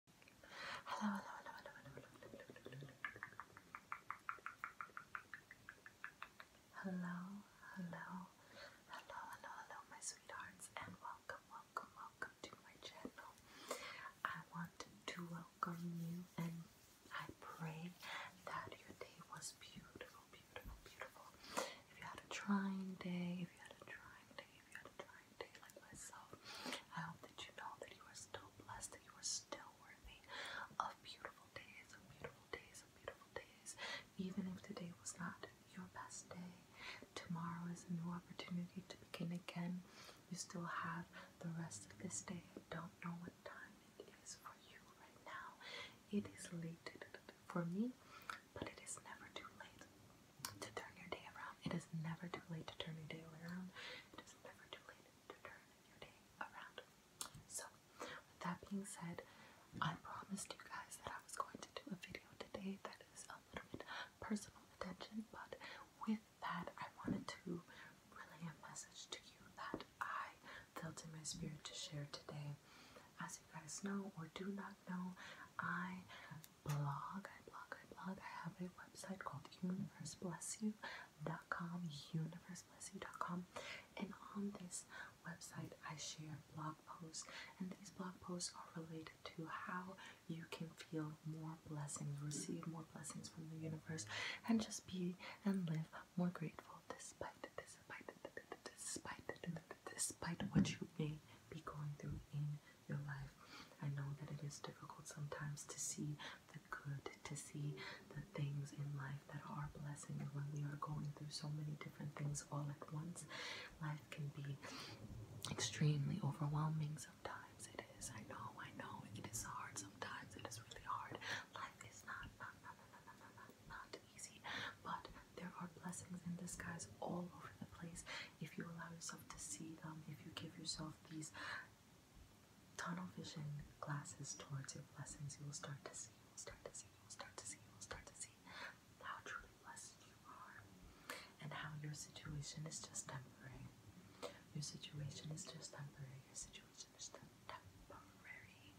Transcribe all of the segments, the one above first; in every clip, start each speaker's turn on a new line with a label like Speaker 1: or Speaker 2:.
Speaker 1: Hello, hello, hello, hello, hello, hello, hello, hello, hello, hello, hello, hello, hello, my sweethearts, and welcome, welcome, welcome to my channel. I want to welcome you, and I pray that your day was beautiful, beautiful, beautiful. If you had a trying day, if you had a trying day, if you a trying day like myself. I hope that you know that you are still blessed, that you are still worthy of beautiful days, of beautiful days, of beautiful days. Even if today was not your best day, tomorrow is a new opportunity to begin again. You still have the rest of this day. I don't know what time it is for you right now. It is late for me, but it is never too late to turn your day around. It is never too late to turn your day around. It is never too late to turn your day around. So, with that being said, I promised you guys that I was going to do a video today that is a little bit personal attention, but with that, I wanted to relay a message to you that I felt in my spirit to share today. As you guys know or do not know, I blog. I blog, I blog. I have a website called universeblessyou.com, universeblessyou.com. And on this website, I share blog posts, and these blog posts are related to how you can feel more blessings, receive more blessings from the universe, and just be and live more grateful despite, despite, despite, despite what you may be going through in your life. I know that it is difficult sometimes to see the good, to see the things in life that are blessings when we are going through so many different things all at once. Life can be extremely overwhelming sometimes. It is, I know, I know, it is hard sometimes. It is really hard. Life is not, not, not, not, not, not, not, not easy, but there are blessings in disguise all over the place if you allow yourself to see them, if you give yourself these tunnel vision glasses towards your blessings, you will start to see, you will start to see, you will start to see, you will start to see how truly blessed you are and how your situation is just temporary. Your situation is just temporary. Your situation is just temporary.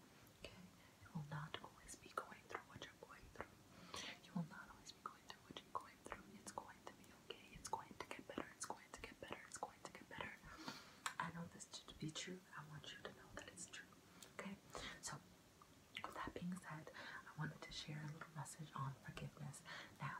Speaker 1: Okay? You will not always be going through what you're going through. You will not always be through what you're going through. It's going to be okay. It's going to get better. It's going to get better. It's going to get better. I know this to be true. I want you to know that it's true. Okay? So, with that being said, I wanted to share a little message on forgiveness. Now,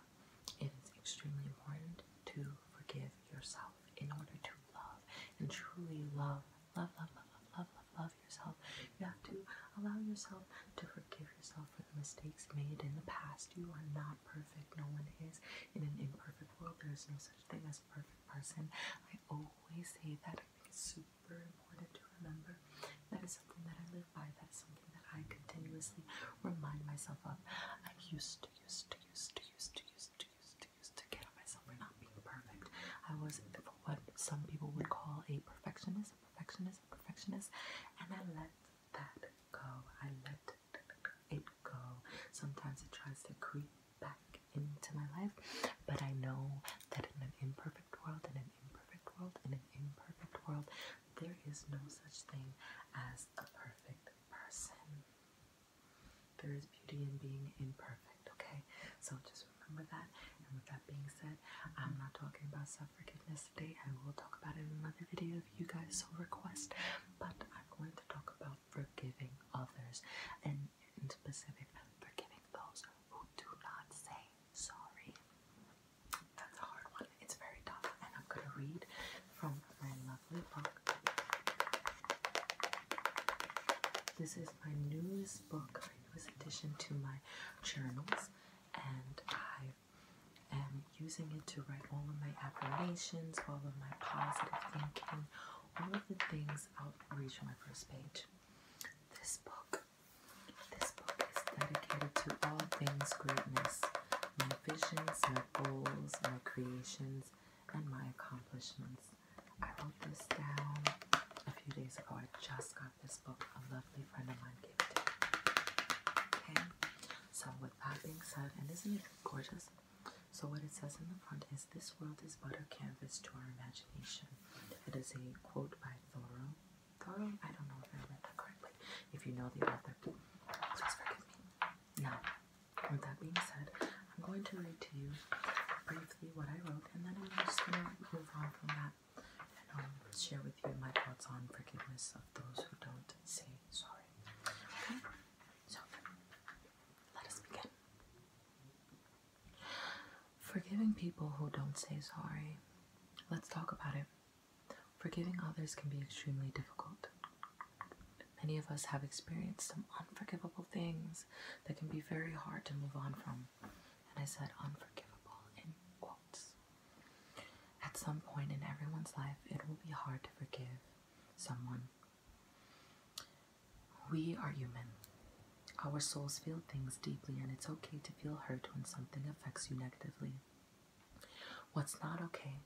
Speaker 1: it is extremely important to forgive yourself in order to love and truly love, love, love, love, love, love, love yourself. You have to allow yourself to forgive yourself yourself for the mistakes made in the past. You are not perfect. No one is. In an imperfect world, there is no such thing as a perfect person. I always say that. I think it's super important to remember. That is something that I live by. That is something that I continuously remind myself of. I used to, used to, used to, used to, used to, used to, used to get on myself for not being perfect. I was what some people would call a perfectionist, a perfectionist, a perfectionist, and I let that go. I let April. Sometimes it tries to creep back into my life, but I know that in an imperfect world, in an imperfect world, in an imperfect world, there is no such thing as a perfect person. There is beauty in being imperfect, okay? So just remember that. And with that being said, I'm not talking about suffering ethnicity. I will talk about it in another video if you guys so request. But I'm going to talk about forgiving others, and in specific, forgiving those who do not say sorry. That's a hard one. It's very tough, and I'm gonna read from my lovely book. This is my newest book, my newest addition to my journals, and I am using it to write all of my affirmations, all of my positive thinking, all of the things I'll reach my first page. This book, this book is dedicated to all things greatness, my visions, my goals, my creations, and my accomplishments. I wrote this down a few days ago. I just got this book. A lovely friend of mine gave it to me. Okay, so with that being said, and isn't it gorgeous? So what it says in the front is this world is but a canvas to our imagination. It is a quote by Thoreau. Thoreau? I don't know if I read that correctly. If you know the author, please forgive me. Now, with that being said, I'm going to read to you briefly what I wrote, and then I'm just going to move on from that and um, share with you my thoughts on forgiveness of those who don't say Sorry. Okay. So let us begin. Forgiving people who don't say sorry. Let's talk about it. Forgiving others can be extremely difficult. Many of us have experienced some unforgivable things that can be very hard to move on from. And I said unforgivable in quotes. At some point in everyone's life, it will be hard to forgive someone. We are human. Our souls feel things deeply, and it's okay to feel hurt when something affects you negatively. What's not okay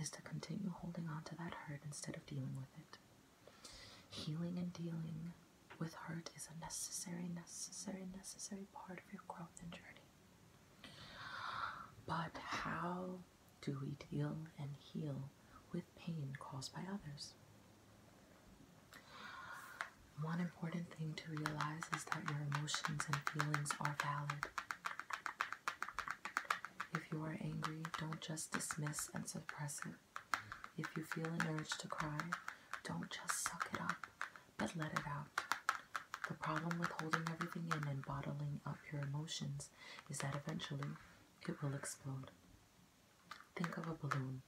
Speaker 1: is to continue holding on to that hurt instead of dealing with it. Healing and dealing with hurt is a necessary, necessary, necessary part of your growth and journey. But how do we deal and heal with pain caused by others? One important thing to realize is that your emotions and feelings are valid. If you are angry, don't just dismiss and suppress it. If you feel an urge to cry, don't just suck it up, but let it out. The problem with holding everything in and bottling up your emotions is that eventually it will explode. Think of a balloon.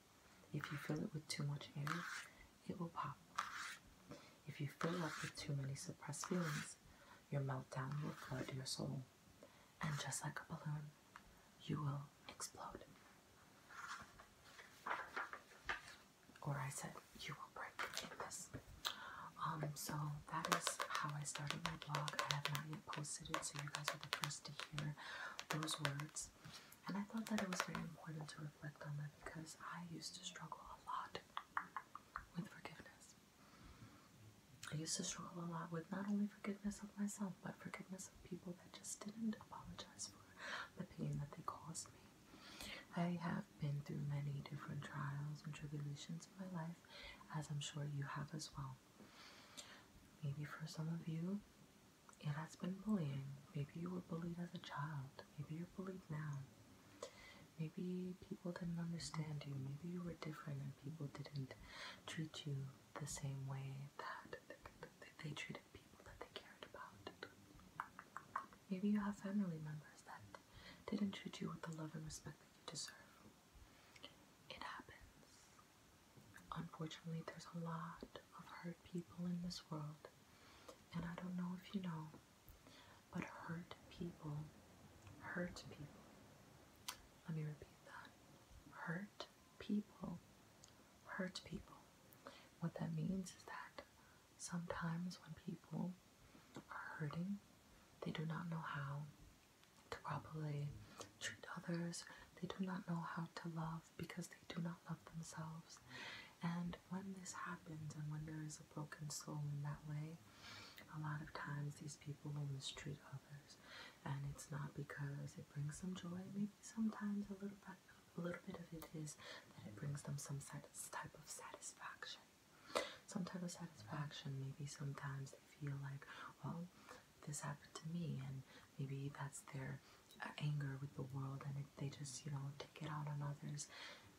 Speaker 1: If you fill it with too much air, it will pop. If you fill up with too many suppressed feelings, your meltdown will flood your soul. And just like a balloon, you will explode. Or I said, you will break in um, so that is how I started my blog. I have not yet posted it, so you guys are the first to hear those words. And I thought that it was very important to reflect on that because I used to struggle a lot with forgiveness. I used to struggle a lot with not only forgiveness of myself, but forgiveness of people that just didn't apologize for the pain that they caused me. I have been through many different trials and tribulations in my life, as I'm sure you have as well. Maybe for some of you, it has been bullying. Maybe you were bullied as a child. Maybe you're bullied now. Maybe people didn't understand you. Maybe you were different and people didn't treat you the same way that they treated people that they cared about. Maybe you have family members that didn't treat you with the love and respect that you deserve. It happens. Unfortunately, there's a lot of hurt people in this world, and I don't know if you know, but hurt people hurt people. Let me repeat that. Hurt people hurt people. What that means is that sometimes when people are hurting, they do not know how to properly treat others, they do not know how to love because they do not love themselves. And when this happens, and when there is a broken soul in that way, a lot of times these people will mistreat others. And it's not because it brings them joy, maybe sometimes a little bit, a little bit of it is that it brings them some type of satisfaction some type of satisfaction. Maybe sometimes they feel like, well, this happened to me, and maybe that's their uh, anger with the world, and if they just, you know, take it out on others.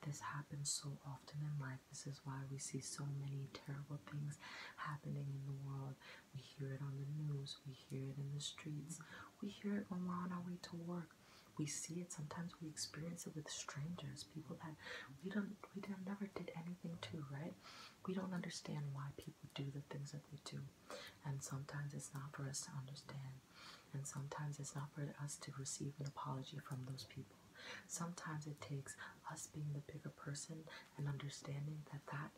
Speaker 1: This happens so often in life. This is why we see so many terrible things happening in the world. We hear it on the news, we hear it in the streets, we hear it when we're on our way to work. We see it sometimes, we experience it with strangers people that we don't we never did anything to, right? We don't understand why people do the things that they do, and sometimes it's not for us to understand, and sometimes it's not for us to receive an apology from those people. Sometimes it takes us being the bigger person and understanding that that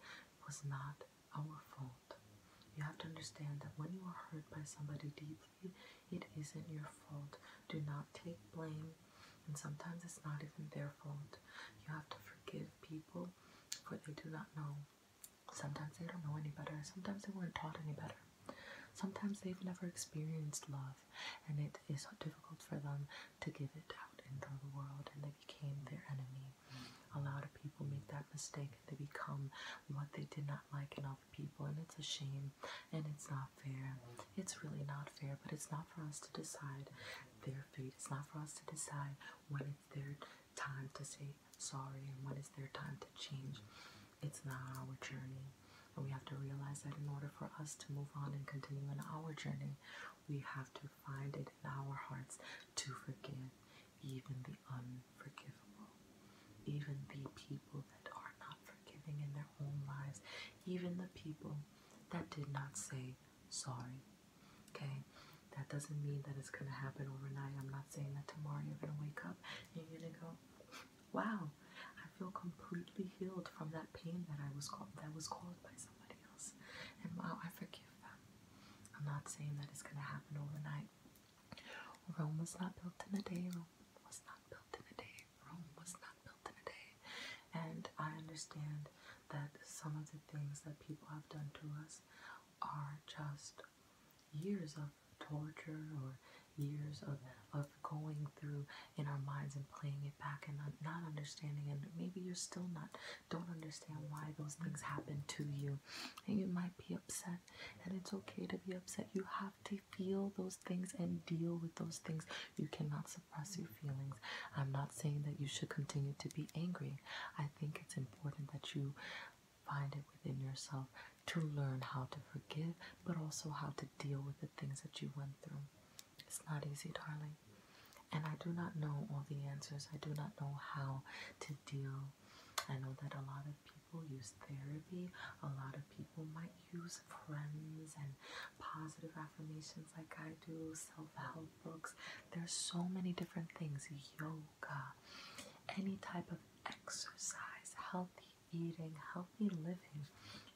Speaker 1: was not our fault. You have to understand that when you are hurt by somebody deeply, it isn't your fault. Do not take blame and sometimes it's not even their fault. You have to forgive people for they do not know. Sometimes they don't know any better. Sometimes they weren't taught any better. Sometimes they've never experienced love and it is difficult for them to give it out into the world and they became their enemy. A lot of people make that mistake and they become what they did not like in other people and it's a shame and it's not fair. It's really not fair, but it's not for us to decide their fate. It's not for us to decide when it's their time to say sorry and when it's their time to change. It's not our journey. And we have to realize that in order for us to move on and continue in our journey, we have to find it in our hearts to forgive even the unforgivable, even the people that are not forgiving in their own lives, even the people that did not say sorry. Okay, that doesn't mean that it's gonna happen overnight. I'm not saying that tomorrow you're gonna wake up and you're gonna go, wow, I feel completely healed from that pain that I was called that was caused by somebody else, and wow, I forgive them. I'm not saying that it's gonna happen overnight. Rome was not built in a day. Rome was not built in a day. Rome was not built in a day. And I understand that some of the things that people have done to us are just years of torture or years of, of going through in our minds and playing it back and not, understanding and maybe you're still not don't understand why those things happened to you and you might be upset and it's okay to be upset you have to feel those things and deal with those things you cannot suppress your feelings. I'm not saying that you should continue to be angry. I think it's important that you find it within yourself to learn how to forgive, but also how to deal with the things that you went through. It's not easy, darling. And I do not know all the answers. I do not know how to deal. I know that a lot of people use therapy. A lot of people might use friends and positive affirmations like I do, self-help books. There's so many different things, yoga, any type of exercise, healthy eating, healthy living.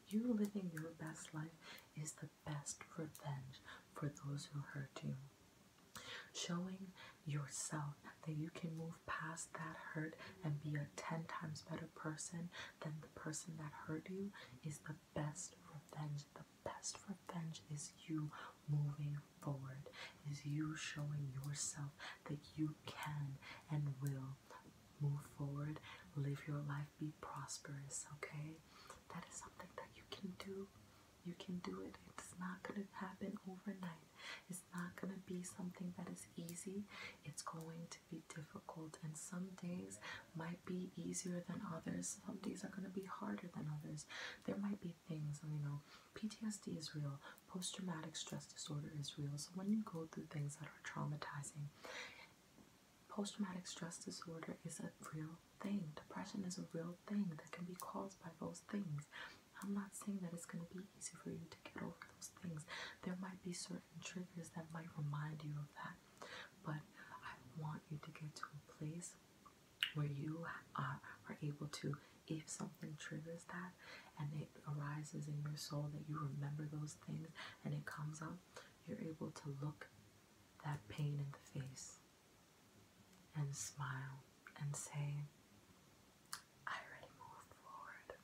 Speaker 1: You living your best life is the best revenge for those who hurt you. Showing yourself that you can move past that hurt and be a 10 times better person than the person that hurt you is the best revenge. The best revenge is you moving forward, is you showing yourself that you can and will move forward, live your life, be prosperous, okay? That is something that you can do. You can do it. It's not going to happen overnight. It's not going to be something that is easy. It's going to be difficult and some days might be easier than others. Some days are going to be harder than others. There might be things, you know, PTSD is real, post traumatic stress disorder is real. So when you go through things that are traumatizing, post traumatic stress disorder is a real thing. Depression is a real thing that can be caused by those things. I'm not saying that it's going to be easy for you to get over those things. There might be certain triggers that might remind you of that. But I want you to get to a place where you are, are able to, if something triggers that and it arises in your soul, that you remember those things and it comes up, you're able to look that pain in the face and smile and say, I already moved forward.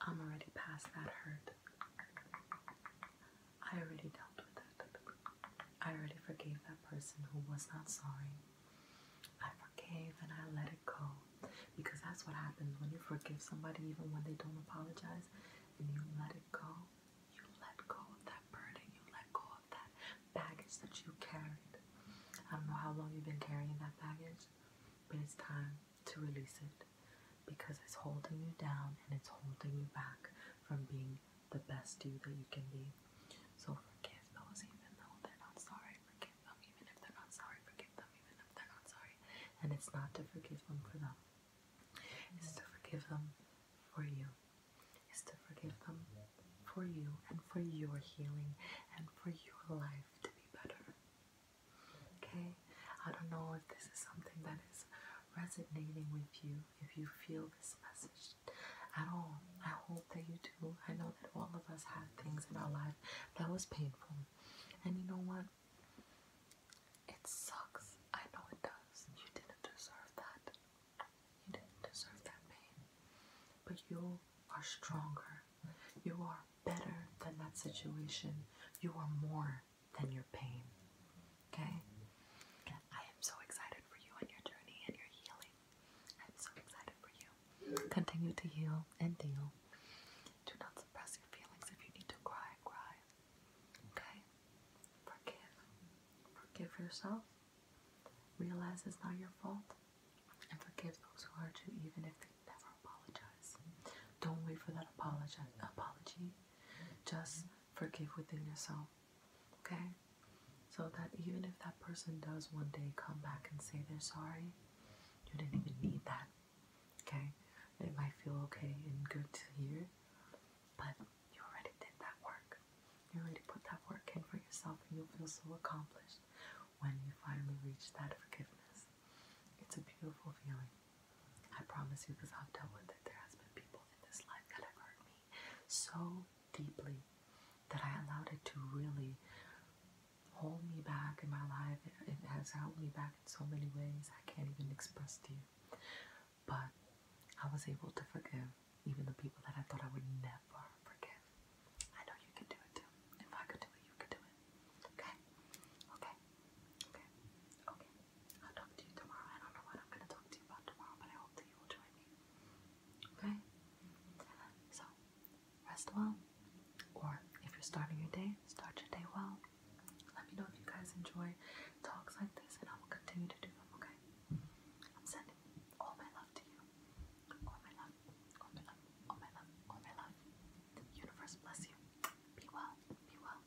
Speaker 1: I'm already past that hurt. I already dealt with it. I already forgave that person who was not sorry. I forgave and I let it go. Because that's what happens when you forgive somebody, even when they don't apologize, and you let it go. You let go of that burden. You let go of that baggage that you carried. I don't know how long you've been carrying that baggage, but it's time to release it because it's holding you down and it's holding you back from being the best you that you can be. So forgive them, even though they're not sorry. Forgive them even if they're not sorry. Forgive them even if they're not sorry. And it's not to forgive them for them. It's to forgive them for you. It's to forgive them for you and for your healing and for your life to be better. Okay? I don't know if this is something that is resonating with you if you feel this message at all. I hope that you do. I know that all of us had things in our life that was painful. And you know what? It sucks. I know it does. You didn't deserve that. You didn't deserve that pain. But you are stronger. You are better than that situation. You are more than your pain. Okay? I am so excited for you on your journey and your healing. I'm so excited for you. Continue to heal and deal. Do not suppress your feelings. If you need to cry, cry. Okay? Forgive. Forgive yourself. Realize it's not your fault. And forgive those who hurt you, even if they never apologize. Don't wait for that apology. Just forgive within yourself. Okay? So that even if that person does one day come back and say they're sorry, you didn't even need that. Okay? It might feel okay and good to hear, but you already did that work. You already put that work in for yourself, and you'll feel so accomplished when you finally reach that forgiveness. It's a beautiful feeling. I promise you, because I've dealt with it. There has been people in this life that have hurt me so deeply that I allowed it to really hold me back in my life. It, has held me back in so many ways I can't even express to you. But I was able to forgive even the people that I thought I would never forgive. I know you can do it too. If I could do it, you could do it. Okay? Okay? Okay? Okay? I'll talk to you tomorrow. I don't know what I'm going to talk to you about tomorrow, but I hope that you will join me. Okay? So, rest well. Or if you're starting your day, start your day well. Let me know if you guys enjoy talks like this, and I will continue to do them, okay? I'm sending all my love to you. All my love. All my love. All my love. All my love. universe bless you. Be well. Be well.